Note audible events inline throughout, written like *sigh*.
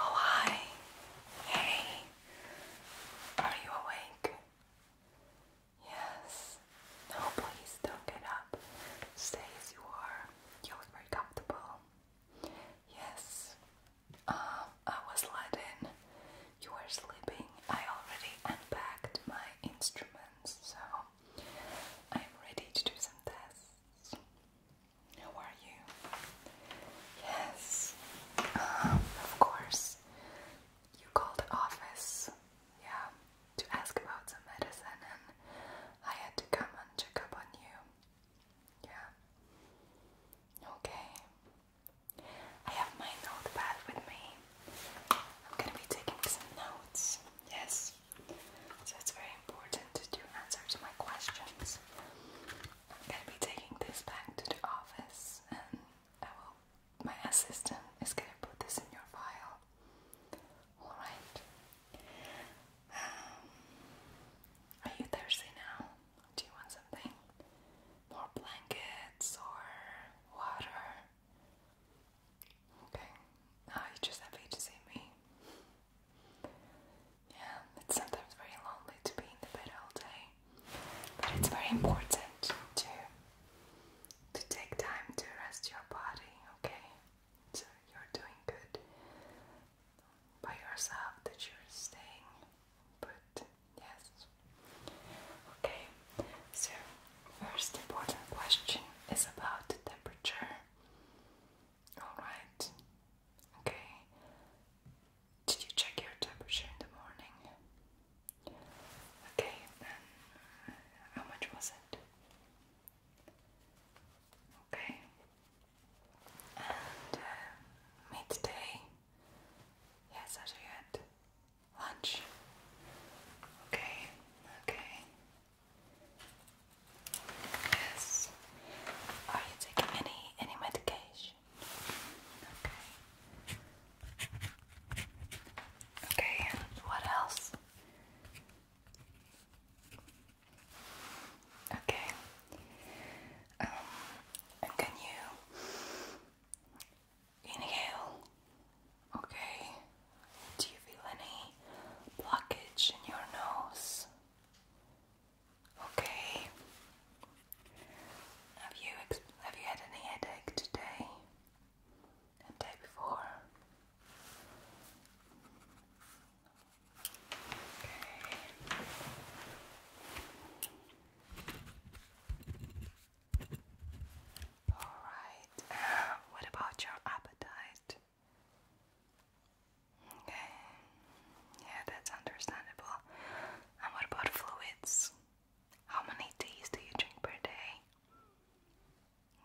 Oh, hi. Hey. Are you awake? Yes. No, please don't get up. Stay as you are. You look very comfortable. Yes. Um, I was let You were sleeping. I already unpacked my instruments, so I'm ready to do some tests. How are you? Yes, um, of course. You called the office, yeah, to ask about some medicine, and I had to come and check up on you. Yeah. Okay. I have my notepad with me. I'm gonna be taking some notes. Yes. So it's very important that you answer to my questions. I'm gonna be taking this back to the office and my assistant is gonna put this in your file. Alright. Um, are you thirsty now? Do you want something? More blankets or water? Okay. Now oh, you just happy to see me. Yeah, it's sometimes very lonely to be in the bed all day, but it's very important to to take time to rest your body. Okay, so you're doing good by yourself that you're staying put. Yes. Okay. So first important question is about the temperature. Alright. Okay. Did you check your temperature in the morning? Okay, then uh, how much was it? Okay. And uh, midday? Yes, after you lunch. Okay, okay. Yes. Are you taking any any medication? Okay. Okay, and what else? Okay. Um and can you inhale? Okay. Do you feel any blockage in your nose? Okay. Have you have you had any headache today? And day before? Okay. All right. Uh, what about your appetite? Okay. Yeah, that's understandable. And what about fluids? How many teas do you drink per day?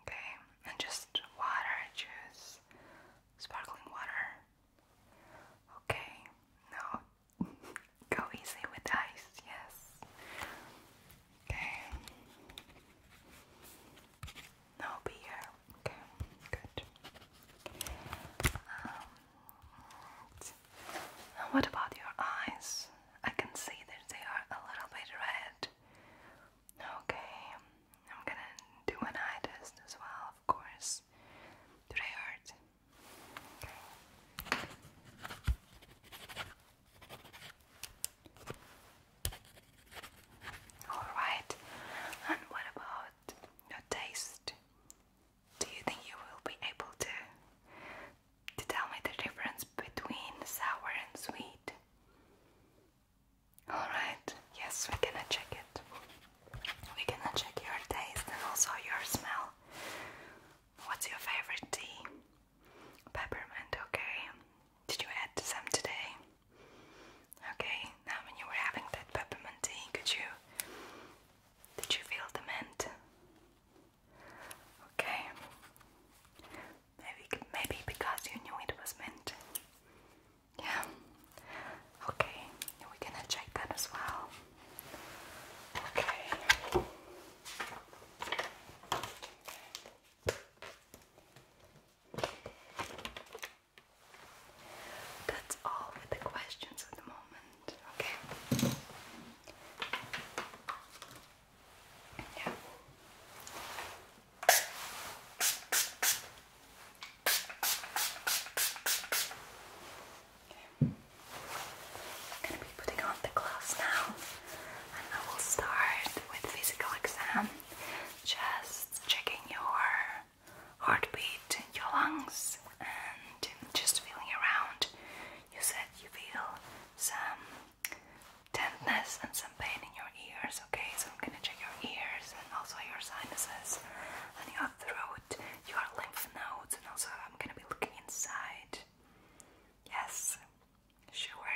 Okay, and just water, juice, sparkling water. Okay, no, *laughs* go easy with ice, yes. Okay, no beer. Okay, good. Um, what about your eyes? I can see that they are a little bit red. Okay, I'm gonna do an eye test as well, of course. Do they hurt? Alright, and what about your taste? Do you think you will be able to, to tell me the difference between sour and sweet? Alright, yes, we're check it. We're check your taste and also your smell. What's your favorite tea? Peppermint, okay. Did you add some today? Okay, now when you were having that peppermint tea, could you did you feel the mint? Okay. Maybe maybe because you knew it was mint. Yeah. Okay, we're check that as well. Okay. That's all with the questions at the moment, okay? Yeah. Okay. I'm gonna be putting on the gloves now and I will start with physical exam just checking your heartbeat, your lungs, and just feeling around. You said you feel some tenderness and some pain in your ears, okay? So I'm gonna check your ears and also your sinuses and your throat, your lymph nodes, and also I'm gonna be looking inside. Yes, sure.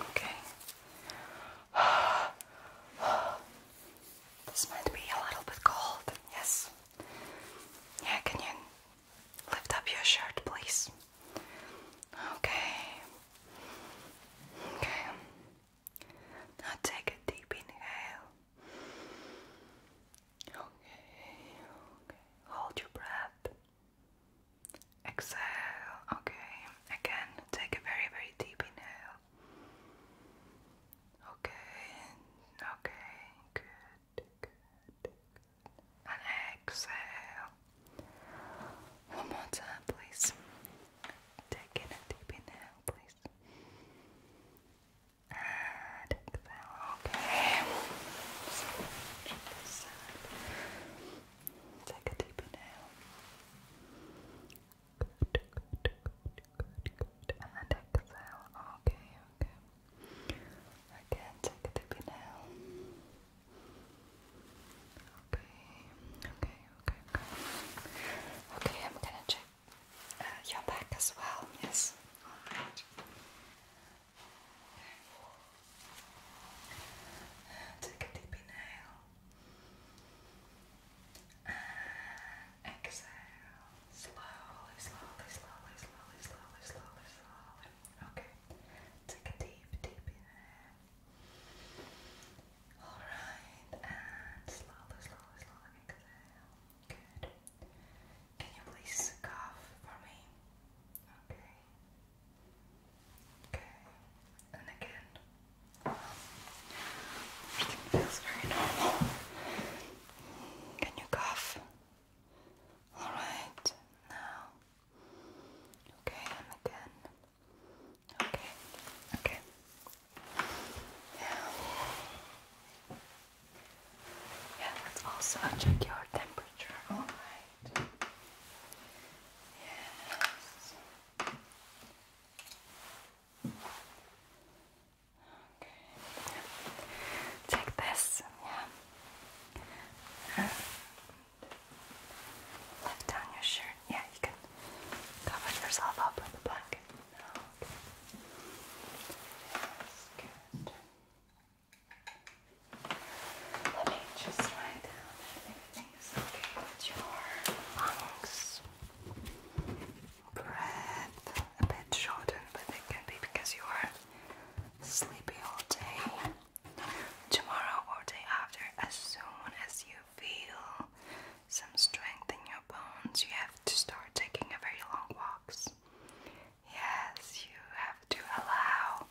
Okay. *sighs* This might be a little bit cold, yes. Yeah, can you lift up your shirt, please? Okay. Okay. Now take a deep inhale. Okay, okay. Hold your breath. Exhale. Okay. Again, take a very, very deep inhale. Okay. Okay. Good. Good. And exhale. One more time, please. Take in a deep inhale exhale, please. And exhale, okay. So Take a deep inhale. Good, good, good, good, good. And exhale. Okay, okay. Again, take a deep inhale. Okay, okay okay, okay. I'm gonna check uh, your back as well. Yes. All right. Okay. Take a deep inhale. exhale. Slowly, slowly, slowly, slowly, slowly, slowly, slowly. Okay. Take a deep, deep inhale. Alright, and slowly, slowly, slowly exhale. Good. Can you please cough for me? Okay. Okay. And again. Everything feels very normal. Can you cough? Alright, now. Okay, and again. Okay, okay. Yeah. Yeah, let's also check your temperature. Alright. Yes. Okay. Take this. Yeah. lift down your shirt. Yeah, you can cover yourself up with a blanket. No, okay. good. Let me just write down that everything's okay your lungs. Breath a bit shortened, but it can be because you are sleepy all day. Tomorrow or day after, as soon as you feel some strength in your bones, you have to start taking a very long walks. Yes, you have to allow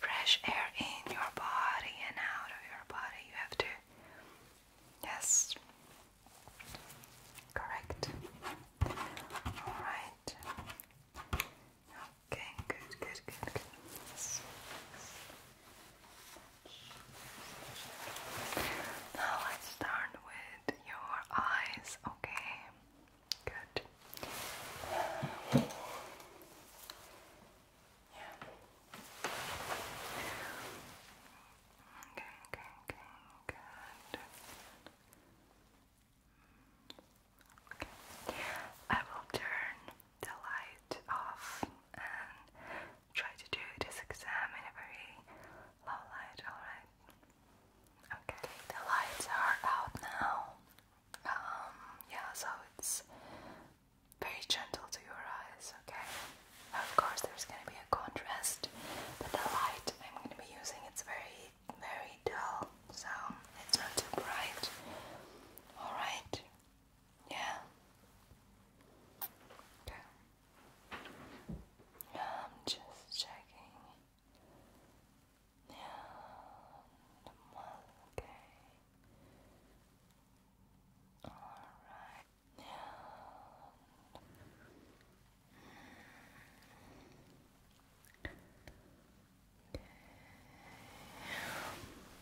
fresh air in your body and out of your body. You have to. Yes. Correct. Alright. Okay, good, good, good, good. Yes. Now let's start with your eyes, okay? Good. Okay, okay, okay, good. Okay. I will turn the light off try to do this exam in a very low light, alright? Okay, the lights are out now. Um, yeah, so it's very gentle to your eyes, okay? of course, there's gonna be a contrast, but the light I'm gonna be using it's very, very dull, so it's not too bright. Alright, yeah. Okay. I'm just checking. Yeah. Okay. All right. Yeah. Okay.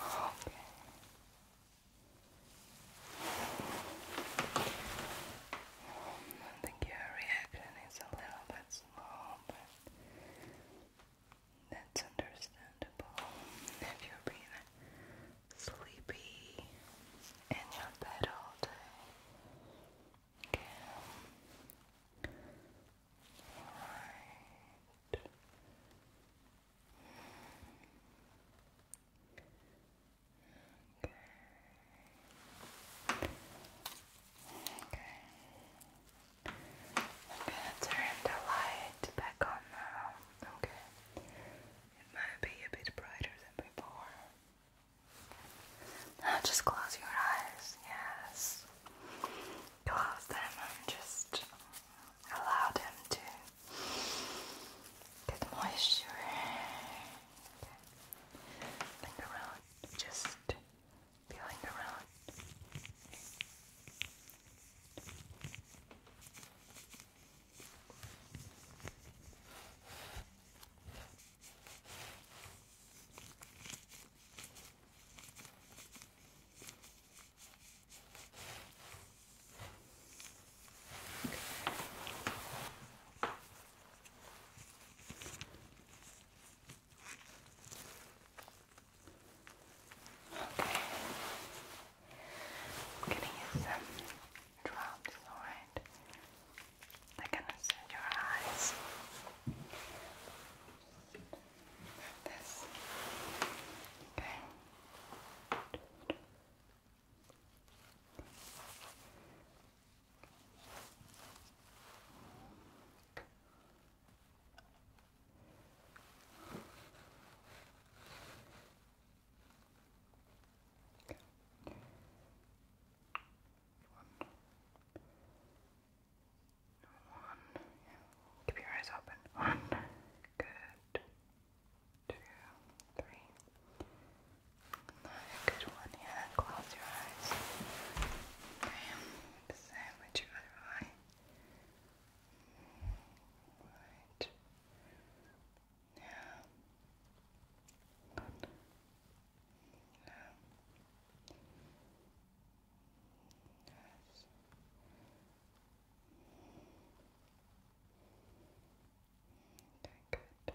Okay. I think reaction is a little bit slow, but that's understandable if you've sleepy in your bed all day. Okay. Alright. Okay. Okay. I'm going turn the light back on now. Okay. It might be a bit brighter than before. Now *sighs* just close your eyes, yes. Close them and just allow them to get moisture. Think around, just feeling around. Okay. I'm gonna use some around is alright. I can set your eyes this. Okay. One. One. Keep your eyes open. One. Good. Two. Three. good one. Yeah. Close your eyes. Okay. Same your other eye. Right. Yeah. Good. Yeah. Yes. Okay, good.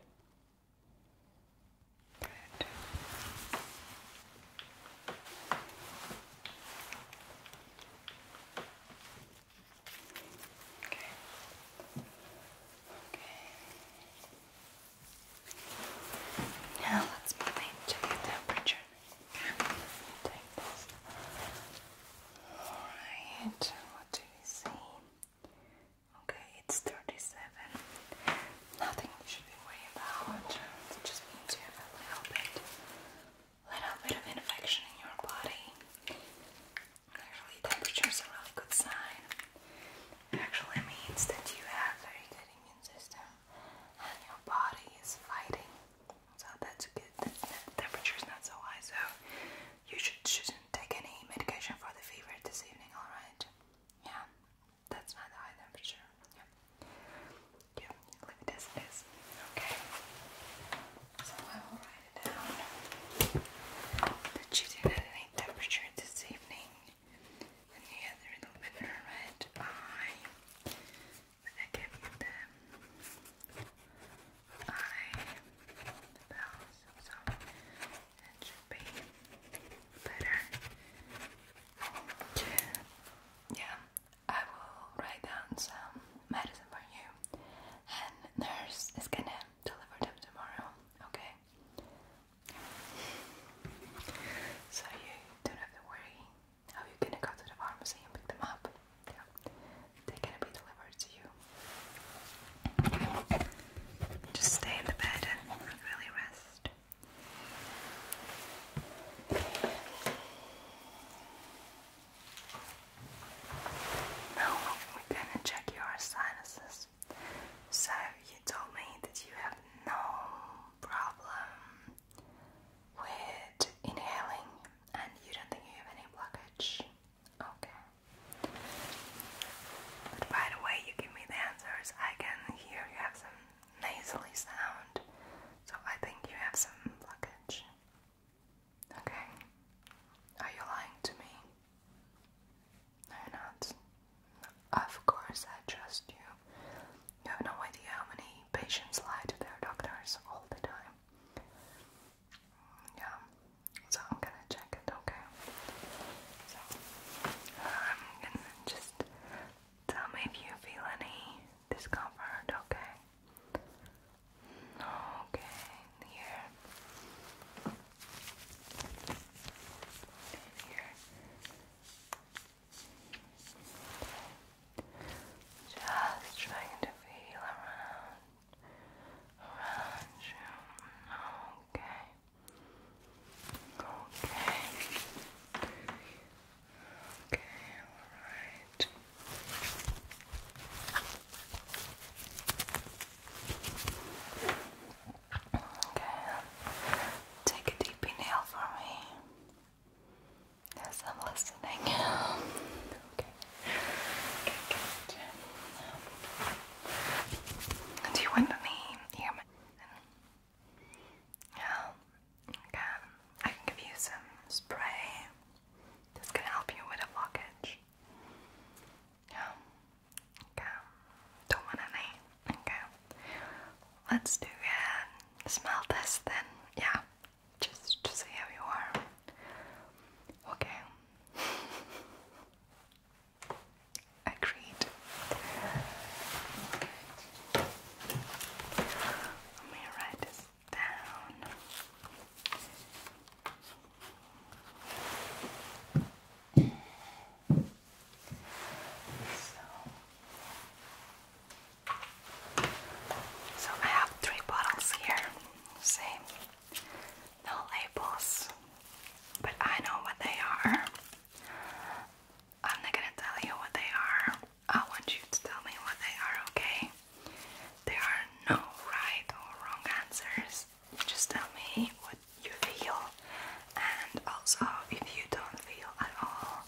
Good. Okay. Okay. Now let's move into the temperature. Okay. what do you see? Okay, it's 37. Nothing you should be worried about. It just means you have a little bit little bit of infection in your body. Actually, temperature is a really good sign. actually means that you have very good immune system and your body is fighting. So that's good. The temperature is not so high, so you should, shouldn't take any medication for the fever this evening, alright? Yeah, that's not a high temperature. Yeah. Yeah, leave it as Okay. So I will write slide it But you didn't have any temperature this evening. And you had a little bit red eye. I gave you the eye bells, so that should be better. Yeah, I will write down some medicine for you. And nurse is gonna deliver them tomorrow, okay? So you don't have to worry how you're gonna go to the pharmacy and pick them up. Yeah. They're gonna be delivered to you. Just stay in the bed and really rest. Now we're gonna check your sinuses. So you told me that you have no problem with inhaling and you don't think you have any blockage. Okay. But by the way you give me the answers, I can hear you have some nasally sound. So I think you have some blockage. Okay. Are you lying to me? No, not. Of course, I trust you. You have no idea how many patients lie to their doctors all the time. Yeah, so I'm gonna check it, okay? I'm gonna just tell me if you feel any discomfort, okay? Okay, here. here. Just trying to feel around, around Okay. Okay. Okay, alright. Okay, take a deep inhale for me. Yes, I'm listening. *laughs* Okay. Okay, good. Do you want any ear Yeah. Okay. I can give you some spray. This can help you with a blockage. Yeah. Okay. Don't want any. Okay. Let's do a smell test then. Yeah. Just to see how you are. Okay. *laughs* Agreed. Let me write this down. So, I have three bottles here. See, no labels, but I know what they are. I'm not gonna tell you what they are. I want you to tell me what they are, okay? There are no right or wrong answers just tell me what you feel and also if you don't feel at all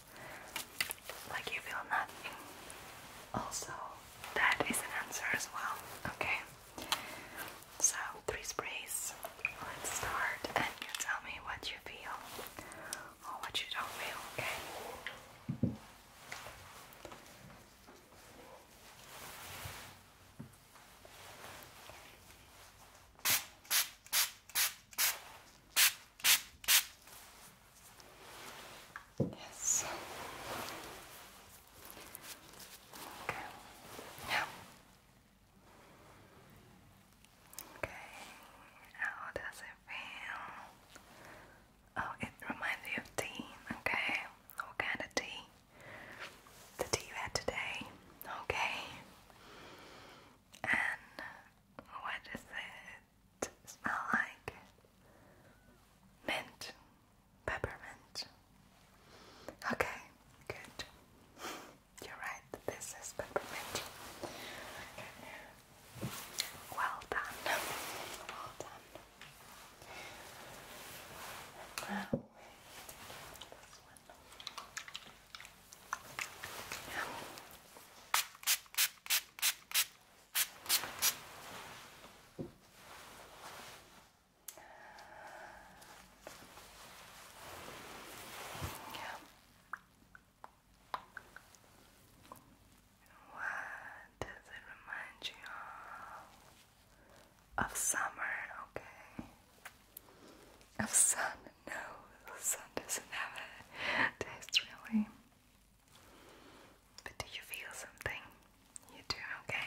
like you feel nothing also that is an answer as well okay so three sprays let's start and you tell me what you feel or what you don't feel okay Yes. Okay. Now. Okay. How does it feel? Oh, it reminds you of tea. Okay. What kind of tea? the tea you had today, okay? And what does it smell like? Mint, peppermint. Okay, good. You're right, this is peppermint. Well done. Well done. This one. Yeah. What does it remind you of? of summer, okay? Of sun, no, sun doesn't have a taste But do you feel something? You do, okay?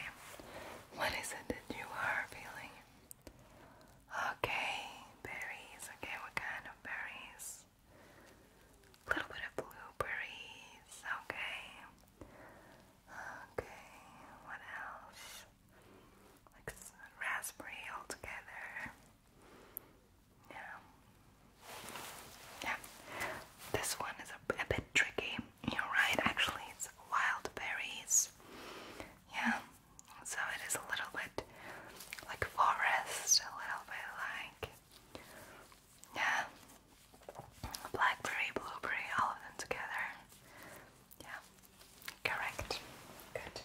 What is it that you are feeling? Okay, berries, okay, what kind of berries? A little bit of blueberries, okay. Okay, what else? Like raspberry altogether. Yeah. Yeah. This one is a, bit tricky. You're right, actually, it's wild berries. Yeah. So it is a little bit like forest, a little bit like. Yeah, blackberry, blueberry, all of them together. Yeah, correct. Good.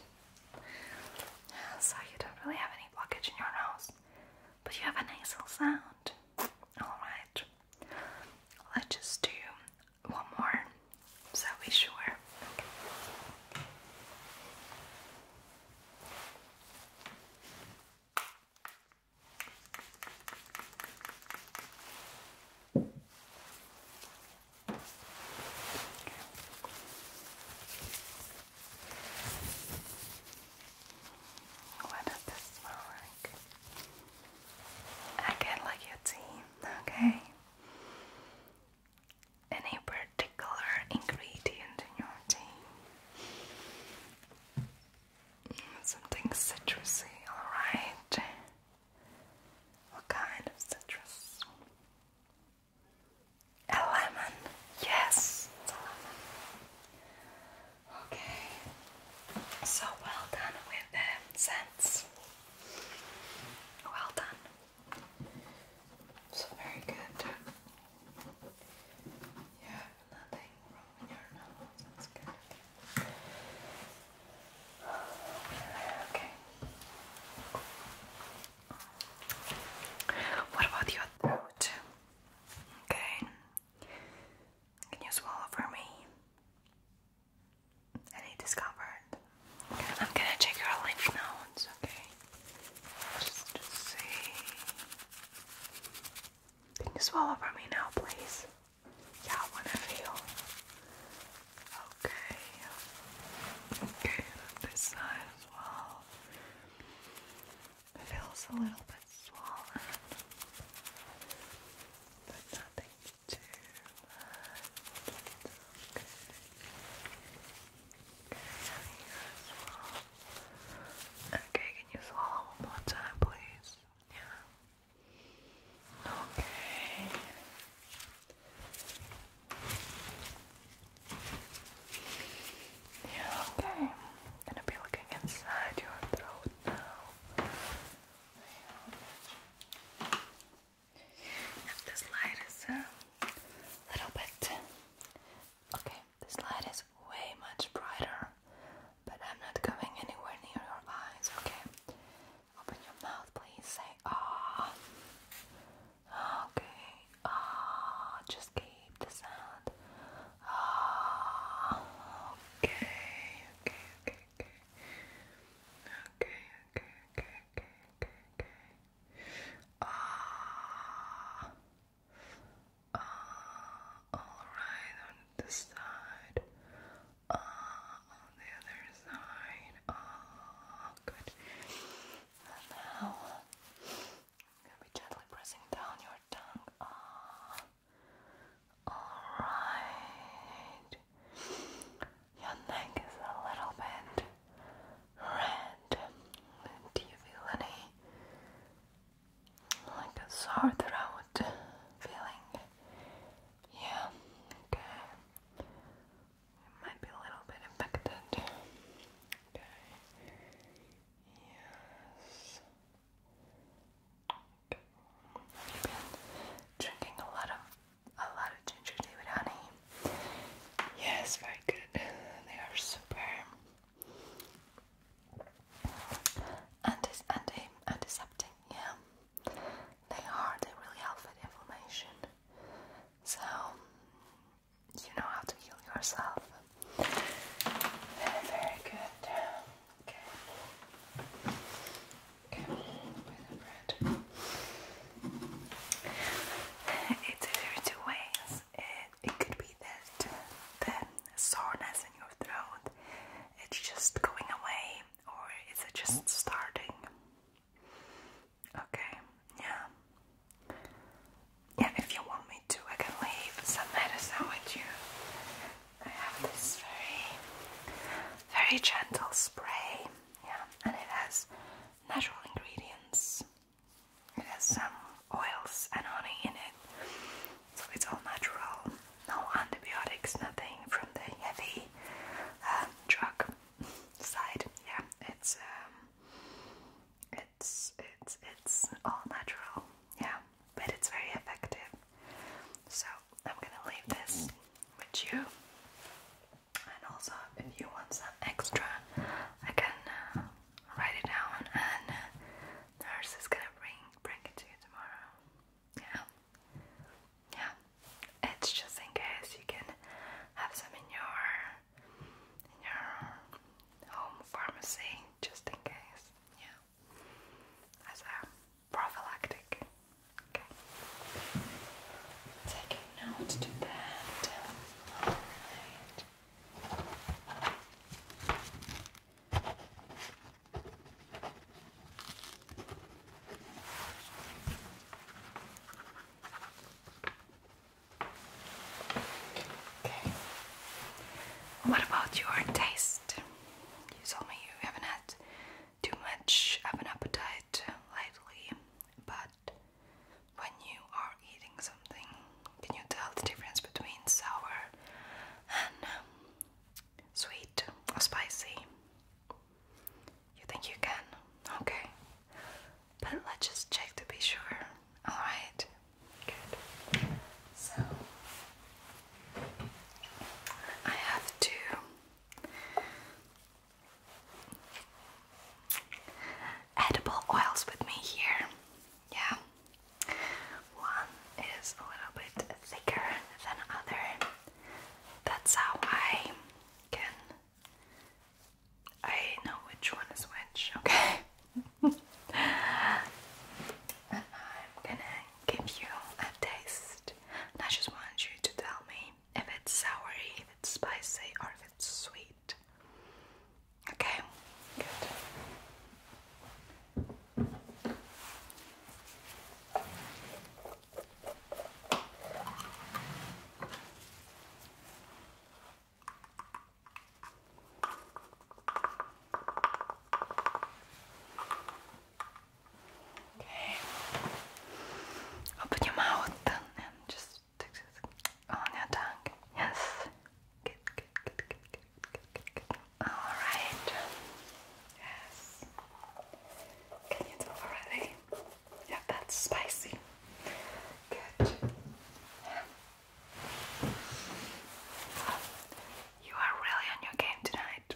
so you don't really have any blockage in your nose, but you have a nasal sound. Alright, let's just do one more so we sure. What does this smell like? I like your tea, okay? Any particular ingredient in your tea? Something citrusy, alright. What kind of citrus? A lemon, yes, Okay, so well done with the scents. Well done. So very good. Yeah, nothing. What about your throat? Okay. Can you swallow for me? Any discomfort? I'm gonna check your lymph nodes, okay? Just to see. Can you swallow for me now, please? Yeah, I feel. Okay. Okay, this side as well. feels a little bit swollen. But nothing too much. Okay. Okay, as well. Okay, can you swallow one more time, please? Yeah. Okay. Yeah, okay. gonna be looking inside your throat now. This light is a uh, little bit. Okay, this light is way much brighter but I'm not going anywhere near your eyes, okay? Open your mouth, please. Say ah. Okay. Ah. Just keep the sound. Ah. Okay. Okay. Okay. Okay. Okay. Okay. Okay. Okay. Ah. Ah. All right. On this side. Uh, on the other side. Oh, good. And now, I'm gently pressing down your tongue. Ah, alright. Your neck is a little bit red. Do you feel any like a sore throat feeling. Yeah, okay. It might be a little bit infected. Okay. Yes. Okay. You've been drinking a lot of a lot of ginger tea with honey. Yes, very good. They are super and is anti antiseptic. Yeah, they are. They really help with inflammation. So you know how to heal yourself. Very, good. Okay. Okay. With the bread. It's there two ways. it could be that then soreness in your throat, it's just going away or is it just mm. starting? Okay, yeah. Yeah, if you want me to, I can leave some medicine with you. I have this very, very gentle spray, yeah, and it has natural ingredients. It has some oils and honey in it, so it's all natural, no antibiotics, nothing from the heavy um, drug side. Yeah, it's um, it's it's it's all natural. Yeah, but it's very effective. So I'm gonna leave this with you. And also, if you want some extra, I can uh, write it down, and uh, nurse is gonna bring bring it to you tomorrow. Yeah. Yeah. It's just in case you can have some in your in your home pharmacy, just in case. Yeah. As a prophylactic. Okay. Take note to that. What about your taste? You told me you haven't had too much of an appetite lately, but when you are eating something, can you tell the difference between sour and um, sweet or spicy? You think you can? Okay. But let's just check to be sure. Alright. Good. So I have to edible oils with me here. Yeah. One is a little bit thicker than other. That's how I can I know which one is which, okay? *laughs* and I'm gonna give you a taste. And I just want you to tell me if it's soury, if it's spicy, or if it's sweet. Okay, good. Okay. Open your mouth and just on your tongue. Yes. Good, good, good, good, Alright. Yes. Can you do already? Yeah, that's spicy. Good. You are really on your game tonight.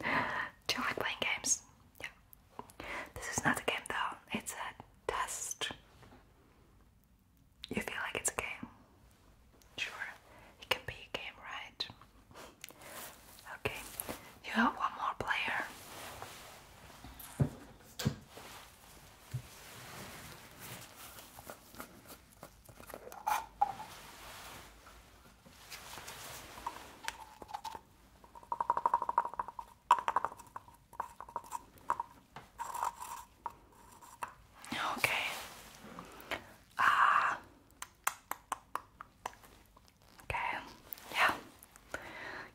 *laughs* Do you like playing games? Yeah. This is not a game though, it's a test. You feel like it's a game? Sure, it can be a game, right? Okay, you have one more player. Okay, Ah. Okay. Yeah.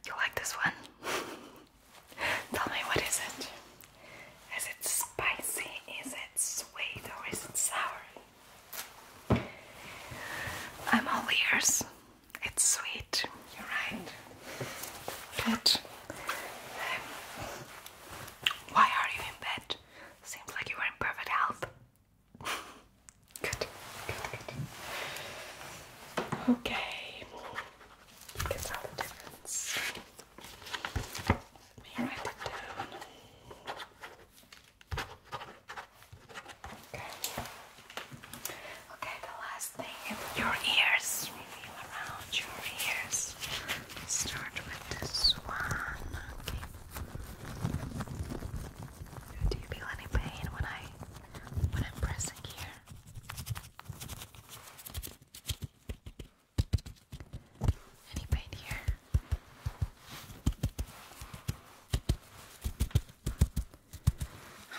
You like this one? *laughs* Tell me what is it? Is it spicy? Is it sweet or is it sour? I'm all ears. It's sweet. You're right. Good. Um, why are you in bed? Seems like you were in perfect health. *laughs* good, Okay. Okay. the last thing your ears. Around your ears. Start with this one. Do you feel any pain when I when I'm pressing here? Any pain here?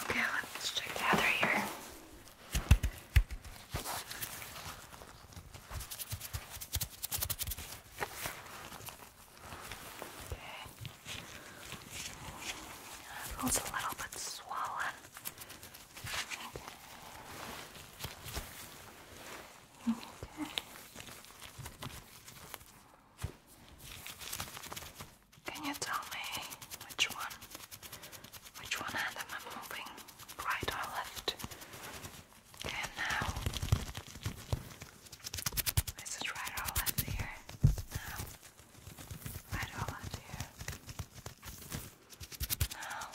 Okay, let's check the other ear. That feels a little bit swollen. Okay. Can you tell me which one? Which one hand am I moving? Right or left? And now this right all up here. Now, right all up here. Now,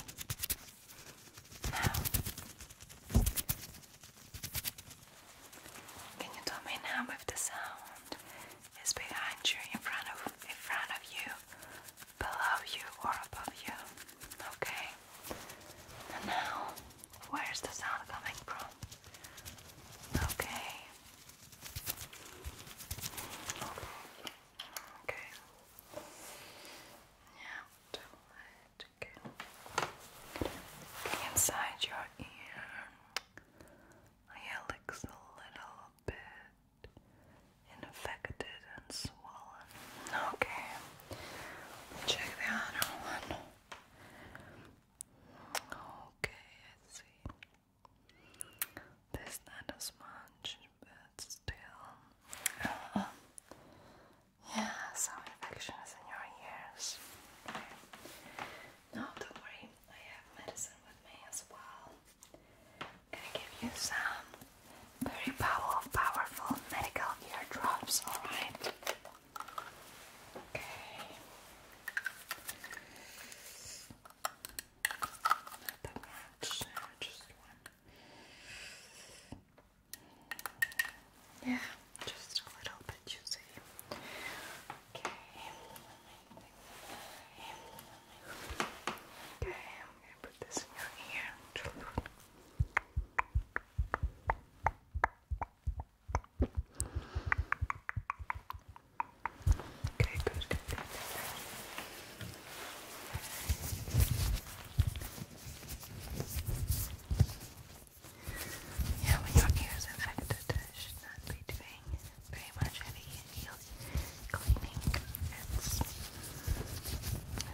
now. Can you tell me now if the sound is behind you, in front of, in front of you, below you, or above you? Okay. now, where's the sound coming from? Okay. Okay. Now, Okay, inside your ear. It looks a little bit infected and swollen. Okay. Check the other one. Okay, I see. There's not as much, but still. Uh, yeah, some infection is in your ears. No, don't worry. I have medicine with me as well. I'm gonna give you some very power, powerful medical eardrops, alright? Okay. Not that much, uh, just one. Yeah, just a little bit, you see. Okay. Okay, put this Yeah, when your ear is infected, it should not be doing very much any cleaning.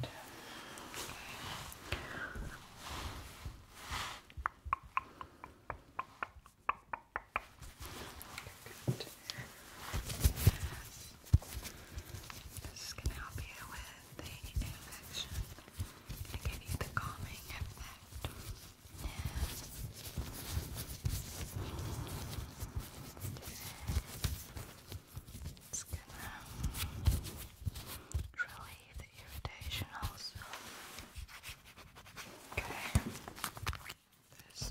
that. Good. This can help you with the infection and give you the calming effect. It's gonna relieve the irritation also. Okay. This.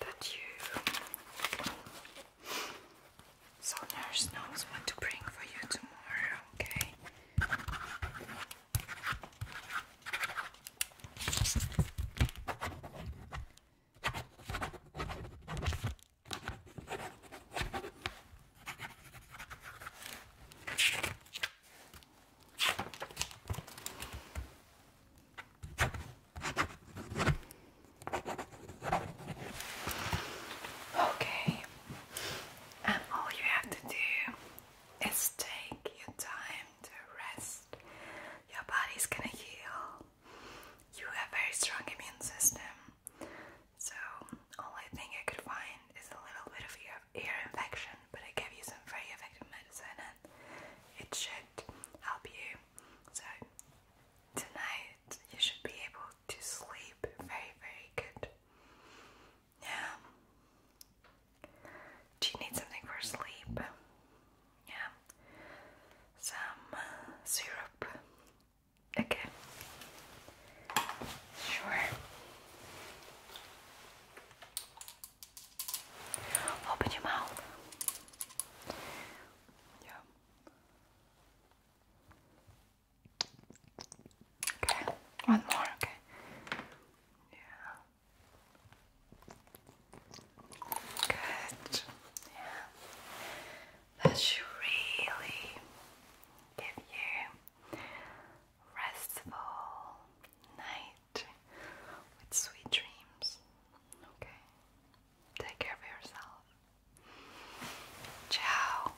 that you so nurse knows what to bring for you tomorrow, okay? Okay, and all you have to do is take your time to rest. Your body's gonna heal. You have a very strong immune system. So, only thing I could find is a little bit of ear, ear infection, but I gave you some very effective medicine and it should help you. So, tonight you should be able to sleep very, very good. Yeah. Do you need something for sleep? Yeah. Some uh, syrup. Okay. Sure. Open your mouth. Yeah. Okay. One more. Okay. Yeah. Good. That should really give you restful night with sweet dreams. Okay. Take care of yourself. Ciao.